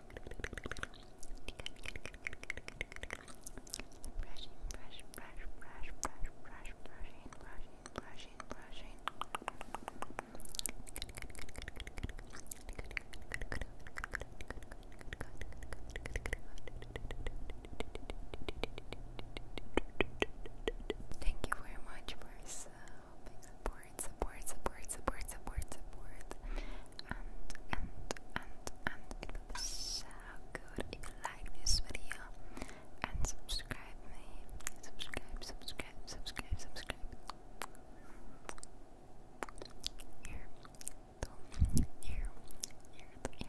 Brushing, brush, brush, brush, brush, brush, brushing, brushing, brushing, brushing. Thank you very much for uh, helping support support, support, support, support, support, support. And, and, and, and if you like this video and subscribe me. Subscribe, subscribe, subscribe, subscribe. Here, here, here, here.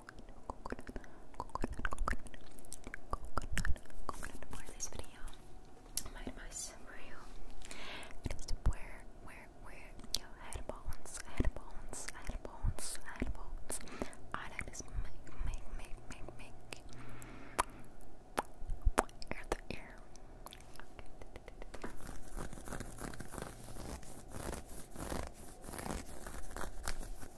coconut, for this video. My advice for you to wear, wear, wear your headphones, headphones, headphones, headphones. I like this make, make, make, make, make. Wet,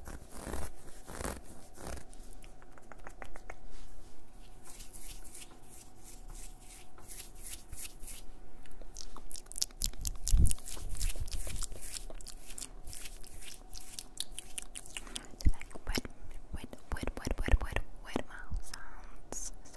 wet, wet, wet, wet, wet, wet mouth sounds, yes.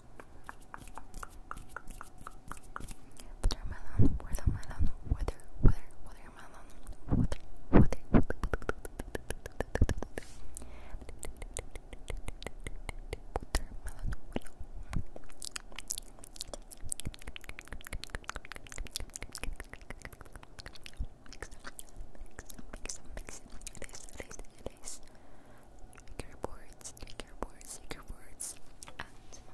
Watermelon, watermelon, water, water, watermelon, water, water, water, watermelon, Mix them, mix them, mix them, mix them. It is, it is, it is. Take your words, take your words, take your words and no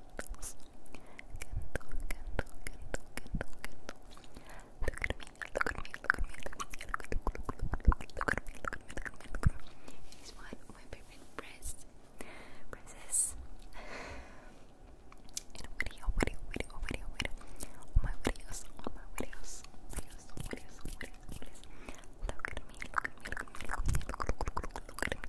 candles. Candle, candle, candle, candle, candle. Look at me, look at me, look at me, look at me, look at me, look at me, look at me, look at me, look at me, look at me. It's one of my favorite press presses. In a video, video, video, video, video. All my videos, all my videos, videos, videos, videos, videos. Look at me, look at me, look at me, look at me, look at me, look at me, look at me.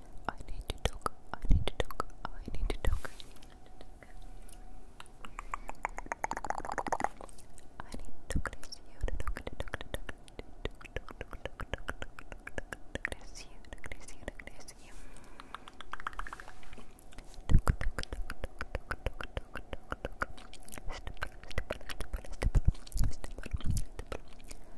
I need to talk. I need to talk. I need to talk. I need to talk. It's you to talk. To talk. To talk. To talk. To talk. To talk. To talk. It's you. It's you. It's you. Talk. Talk. Talk. Talk. Talk. Talk. Talk. Stipple. Stipple. Stipple. Stipple. Stipple. Stipple. Stipple.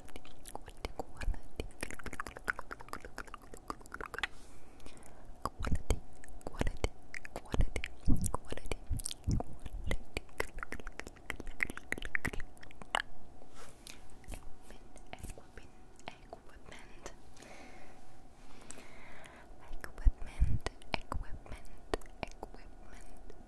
quality, quality, quality, quality, quality, quality, quality, quality. Equipment, equipment, equipment, equipment, equipment, equipment,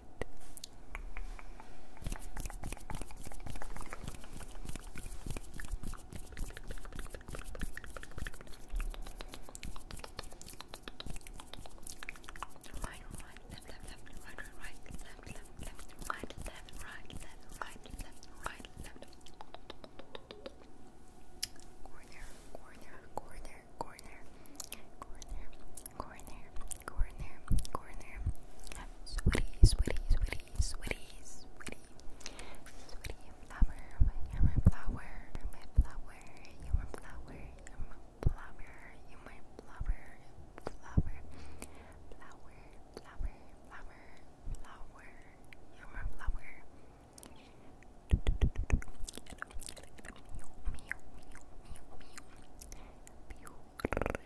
Right, right, left, left, left, right, right, right, left, left, left, right, left, right, left, right, left, right, left. Corner, corner, corner, corner, corner, corner, Go in there, go in there. Sweaty, sweaty, sweaty, sweaty, sweaty. Sweaty you're my flower, you're my flower, you're my flower, you're my flower, you're my flower, flower, flower, flower, flower, flower, you're my flower. Meow, meow, meow, meow, meow.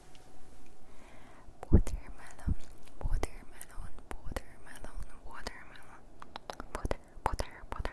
Watermelon, watermelon, watermelon, watermelon, water, water, water.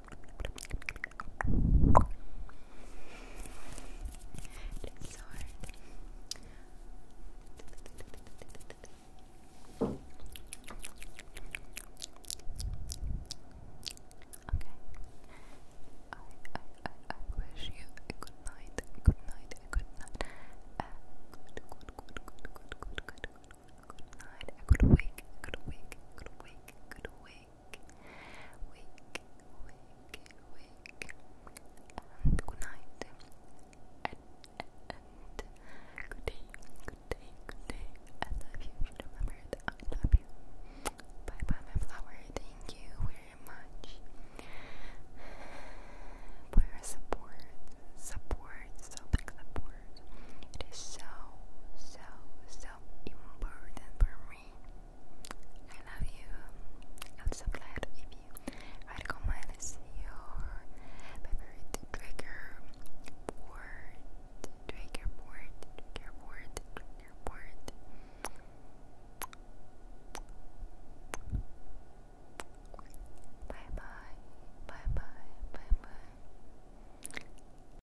It's hard. Okay. I, I, I, I wish you a good night, a good night, a good night, a good, good, good, good, good, good, good, good, good night, a good week, a good week, a good week, a good week, wake, wake, wake, and good night, good day, good day, good day. I love you. remember that I love you. Bye, bye, my flower. Thank you very much for support, support, support. It is so, so, so important for me. I love you. I'm so glad if you recommend your favorite trigger word, trigger word, trigger word, trigger word. Bye bye, bye bye, bye bye.